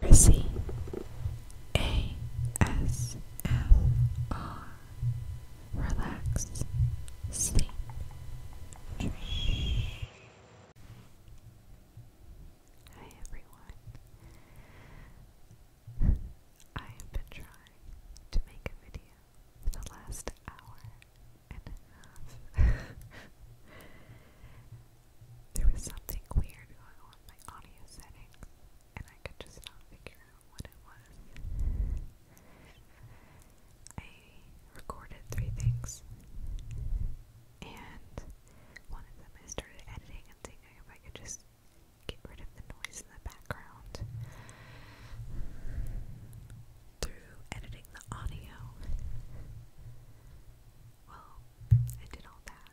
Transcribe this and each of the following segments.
Mercy A S M R Relax Sleep Dream Hi everyone I have been trying to make a video for the last hour and a half There was something weird going on my audio settings, and I could just not figure out what it was. I recorded three things, and one of them I started editing and seeing if I could just get rid of the noise in the background. Through editing the audio, well, I did all that.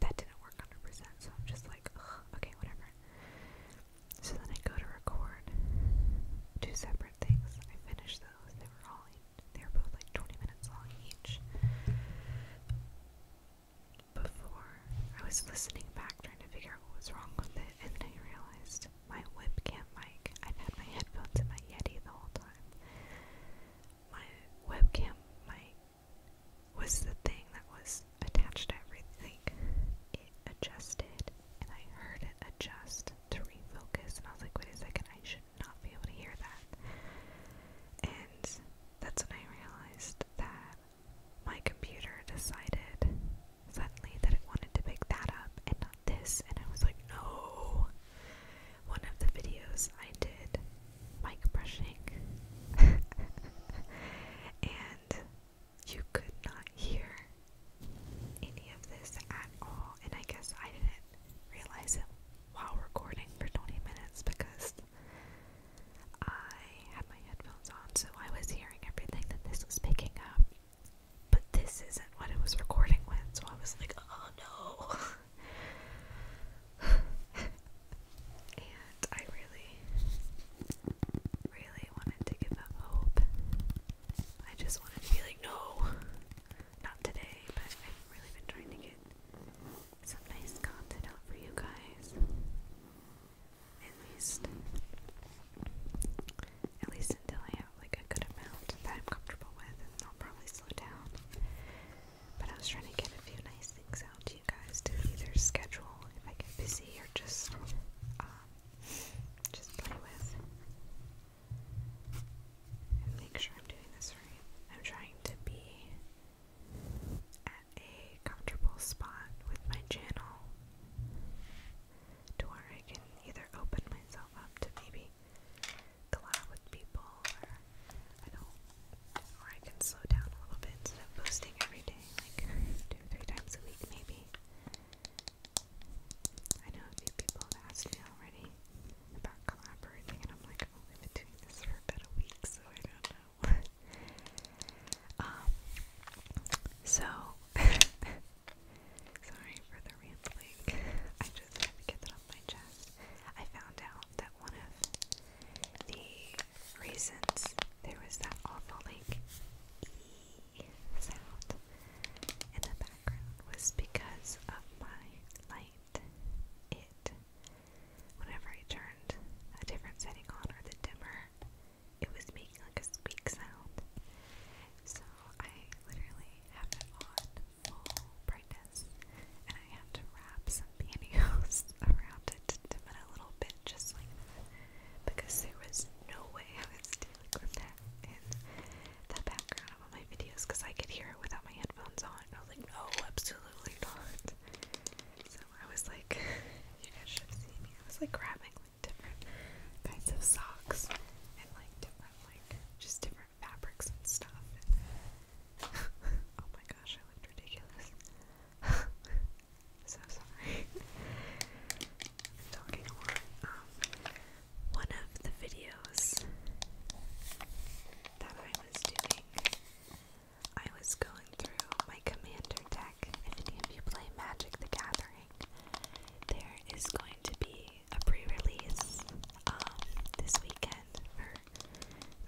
That didn't work 100%, so I'm just like, ugh, okay, whatever. So then I go to record two separate things. I finished those. They were all, they were both like 20 minutes long each. Before, I was listening back trying to figure out what was wrong with it, and then I realized my whip webcam mic, I've had my headphones in my Yeti the whole time my webcam mic was the thing that was attached to everything. It adjusted, and I heard it adjust to refocus, and I was like, wait a second, I should not be able to hear that. And that's when I realized that my computer decided suddenly that it wanted to pick that up this. And I was like, no. One of the videos I did mic brushing, and you could not hear any of this at all. And I guess I didn't realize it while recording for 20 minutes because I had my headphones on, so I was hearing everything that this was picking up but this isn't what it was recording when, so I was like, oh no. and I really, really wanted to give up hope. I just wanted to be like, no, not today, but I've really been trying to get some nice content out for you guys. At least, at least until I like a good amount that I'm comfortable with, and I'll probably slow down. But I was trying to get a few nice things out to you guys to either schedule if I get busy or just um, just play with and make sure I'm doing this right. I'm trying to be at a comfortable spot with my channel to where I can either open myself up to maybe collab with people, or I don't, or I can slow down a little bit instead of posting every day, like two three times a week maybe. I know a few people have asked me already about collaborating, and I'm like, I've been doing this for about a week, so I don't know. um, so Sorry for the rambling. I just had to get that off my chest. I found out that one of the reasons there was that awful like e sound in the background was because of my light. It whenever I turned a different setting on or the dimmer, it was making like a squeak sound. So I literally have it on full brightness and I have to wrap some pantyhose around it to dim a little bit just like because there was no way I was dealing with that in the background of my videos because I could hear it without my headphones on. I was like, no, absolutely not. So I was like, you guys should have seen me. I was like grabbing different kinds of socks and like different like just different fabrics and stuff. oh my gosh, I looked ridiculous. so sorry. talking um, one of the videos that I was doing, I was going through my commander deck. If any of you play Magic the Gathering, there is going to be a pre-release um, this weekend for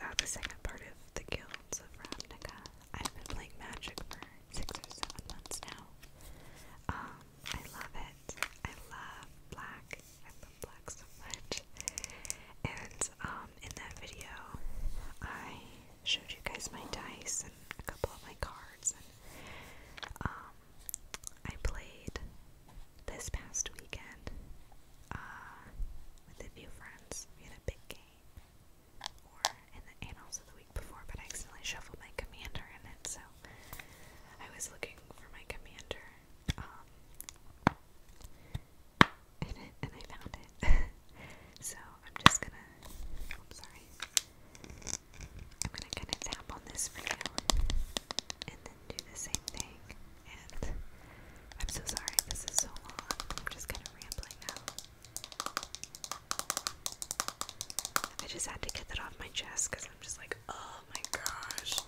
uh, the second part of the Guilds of Ravnica. I've been playing Magic for six or seven months now. Um, I love it. I love black. I love black so much. And um, in that video, I showed you guys my dice and a couple of my cards and I played this past weekend uh, with a few friends. We had a big game, or in the annals of the week before, but I accidentally shuffled my commander in it, so I was looking for my commander um, in it, and I found it. so I'm just gonna. I'm sorry. I'm gonna kind of tap on this for you and then do the same thing. And I'm so sorry this is so long. I'm just kind of rambling now. I just had to get that off my chest because I'm just like, oh my gosh.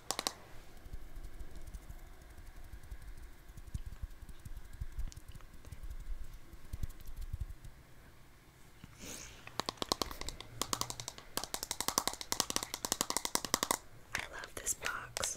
I love this box.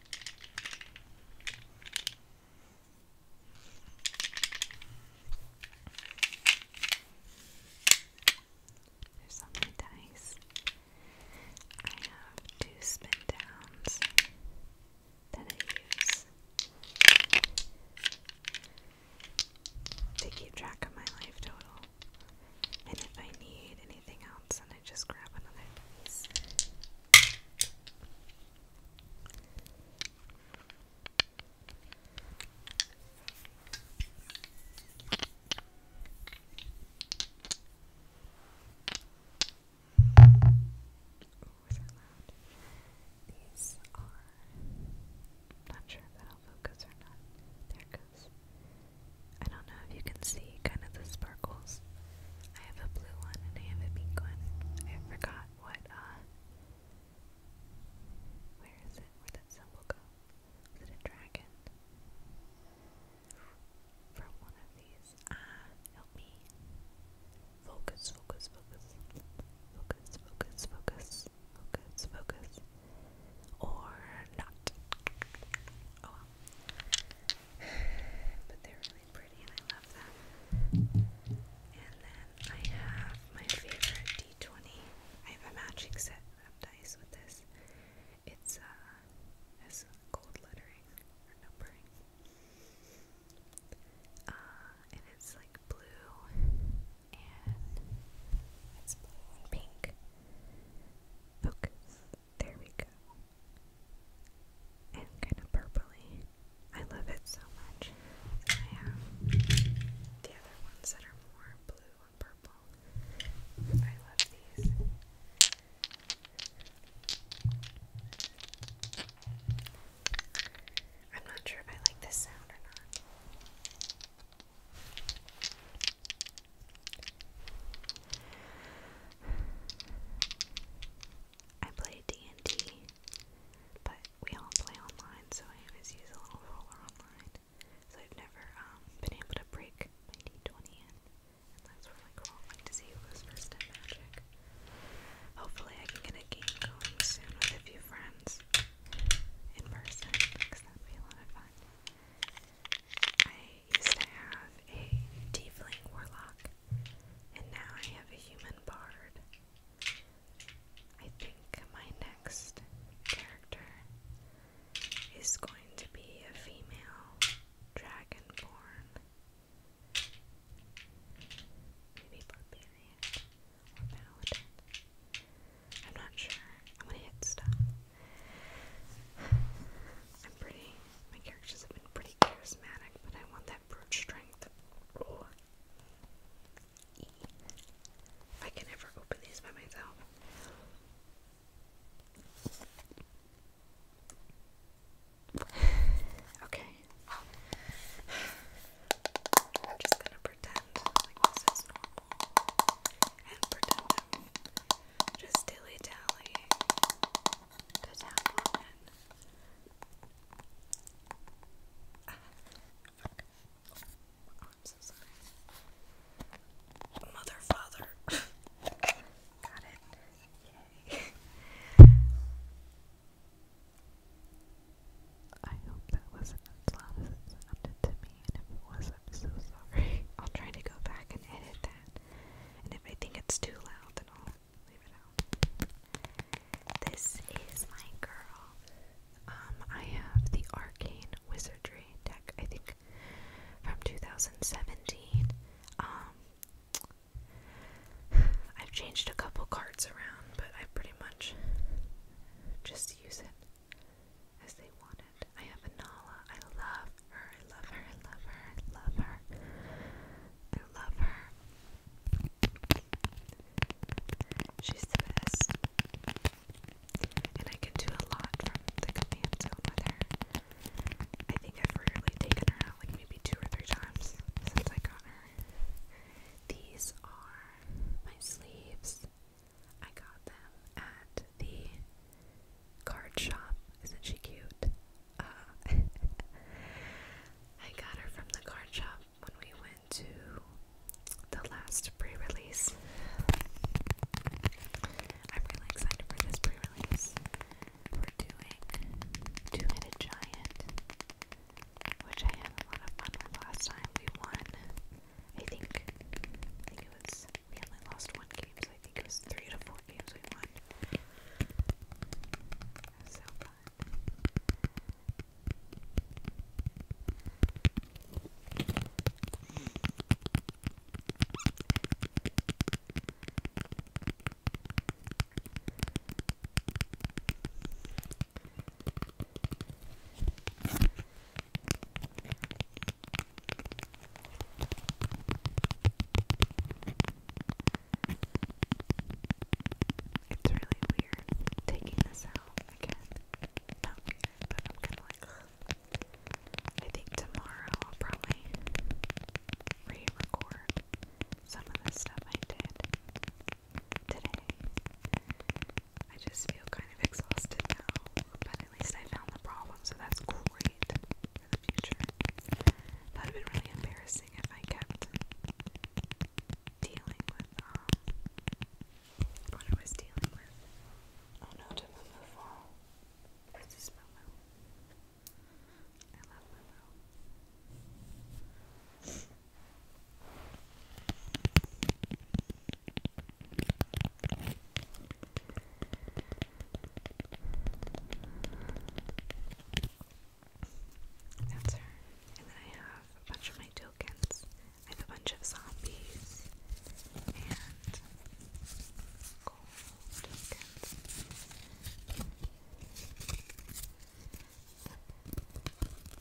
There's so dice. I have two spin downs that I use to keep track of my life total. And if I need anything else, then I just grab another dice was that loud? These are. Not sure if that'll focus or not. There it goes. I don't know if you can see kind of the sparkles. I have a blue one and I have a pink one. I forgot what, uh, where is it? Where'd that symbol go? Is it a dragon? From one of these. Ah, help me. Focus, focus, focus. Focus, focus, focus. Focus, focus. Or not. Oh but they're really pretty and I love them. And then I have my favorite D20. I have a matching set of dice with this. It's uh has gold lettering or numbering. Uh and it's like blue and it's blue and pink. Focus. There we go and kind of purpley. I love it so much. I have the other ones that are more blue and purple. I love these. I'm not sure if I like this sound or not. I play D&D, but we all play online, so I always use a little roller online. So I've never um, been able to break my D20 and that's really cool. I'd like to see who goes first in Magic. Hopefully I can get a game going soon with a few friends in person, because that'd be a lot of fun used to have a tiefling warlock, and now I have a human bard. I think my next character is going to be a female dragonborn. Maybe barbarian or paladin. I'm not sure. I'm gonna hit stop. I'm pretty. My characters have been pretty charismatic, but I want that brute strength. I can ever open these by myself. Okay. I'm just gonna pretend like this is normal and pretend just dilly dally to tap on oh, I'm so sorry. Mother, father. Got it. Yay. I hope that wasn't as loud as it sounded was, I'm so sorry. I'll try to go back and edit that. And if I think it's too loud, then I'll leave it out. This is my girl. Um, I have the Arcane Wizardry deck, I think from 2017. Um, I've changed a couple cards around, but I pretty much just use it as they wanted. I have Anala. I love her. I love her. I love her. I love her. I love her. She's the best. And I can do a lot from the command zone with her. I think I've really taken her out, like maybe two or three times since I got her. These are my sleeves. I got them at the card shop. Isn't she cute? Uh, I got her from the card shop when we went to the last pre release. I'm really excited for this pre release. We're doing Two Headed Giant, which I had a lot of fun with last time. We won, I think, I think it was we only lost one game, so I think it was three to four games we won. so fun. It's really weird taking this out again. Not weird, but I'm kind of like, I think tomorrow I'll probably re record some of the stuff I did today. I just feel kind of exhausted now, but at least I found the problem, so that's great for the future. That would have been really embarrassing if I kept dealing with um what I was dealing with. Oh no, did Moo fall? This is Moo. I love Moo. That's her. And then I have a bunch of my tokens. I have a bunch of zombies and gold tokens.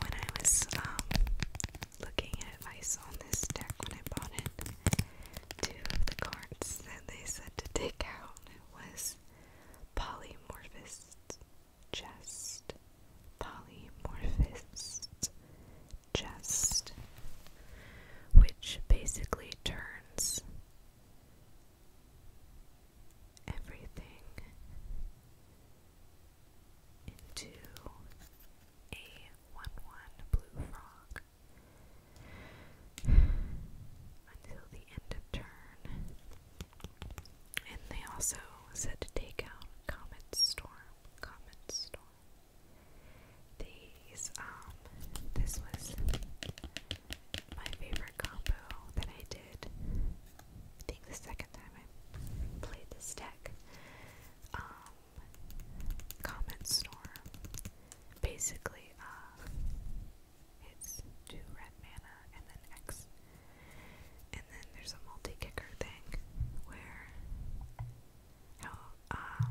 When I was um, looking at ice on this deck when I bought it, two of the cards that they said to take out was polymorphist, just polymorphist, chest, which basically turns everything into a 1 1 blue frog until the end of turn. And they also said to take out Comet Storm. Comet Storm. These, um, this was my favorite combo that I did. I think the second time I played this deck. Um, Storm. Basically, uh, it's two red mana and then X. And then there's a multi-kicker thing where um,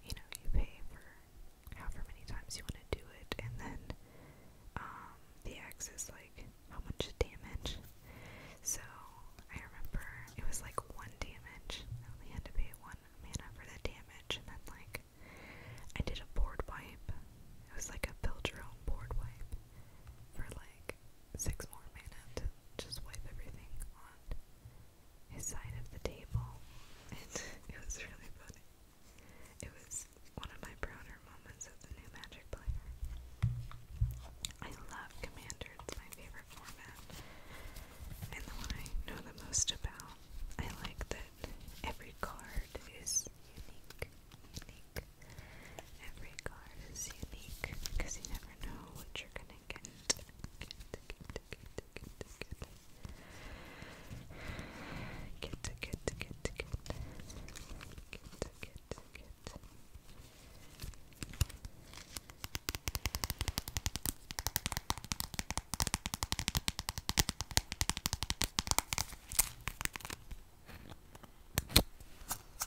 you know you pay for however many times you want to do it and then um, the X is like how much damage. So I remember it was like one damage. I only had to pay one mana for the damage and then like I did a board wipe. It was like a build your own board wipe for like six more mana just wipe everything on his side of the table, it was really funny. It was one of my prouder moments as a new Magic player. I love Commander, it's my favorite format, and the one I know the most about. I like that every card is unique, unique. Every card is unique because you never know what you're gonna get.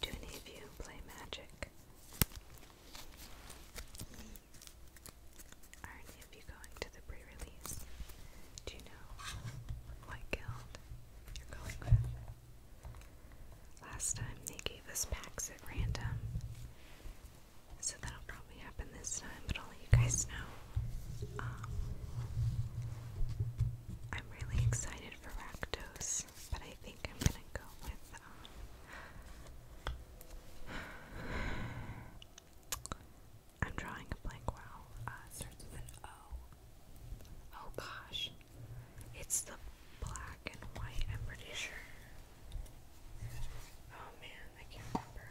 Do any of you play magic? Are any of you going to the pre release? Do you know what guild you're going with? Last time they gave us packs at random. So that'll probably happen this time, but i you guys know. Um, I'm really excited for Rakdos, but I think I'm gonna go with. Um, I'm drawing a blank wow. Uh, starts with an O. Oh gosh. It's the black and white, I'm pretty sure. Oh man, I can't remember.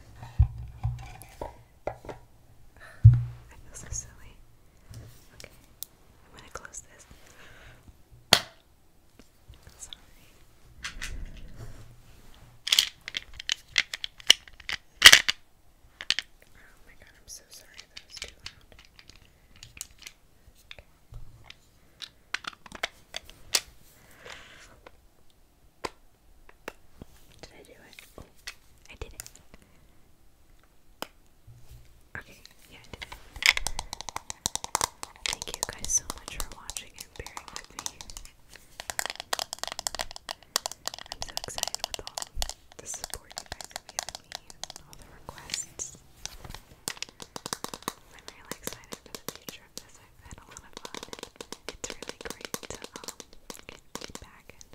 I feel so silly. Okay, I'm gonna close this. sorry. Oh my god, I'm so sorry that was too loud. Did I do it? I did it. Okay, yeah, I did it. Thank you guys so much for watching and bearing with me. I'm so excited with all the support you guys have given me all the requests. I'm really excited for the future of this. I've had a lot of fun. It's really great to um, get feedback and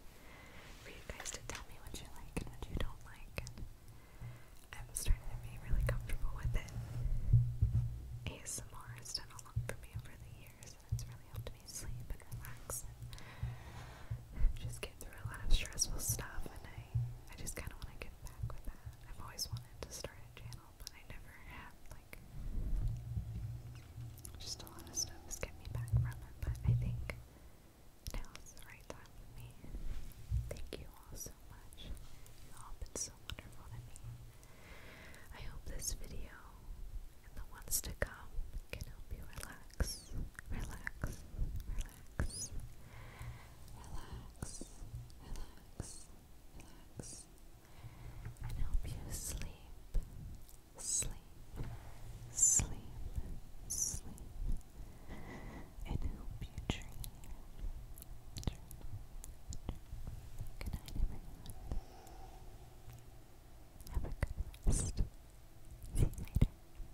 for you guys to tell me what you like and what you don't like. And I'm starting to be really comfortable with it. ASMR has done a lot for me over the years, and it's really helped me sleep and relax and just get through a lot of stressful stuff. And I I just kind of want to get back with that. I've always wanted to start a channel, but I never had, like, just a lot of stuff has kept me back from it, but I think now's the right time for me. Thank you all so much. You've all been so wonderful to me. I hope this video and the ones to come can help you relax, relax, relax, relax, relax, relax, and help you sleep, sleep, sleep, sleep, and help you dream. dream, everyone. Have a good rest. See you later.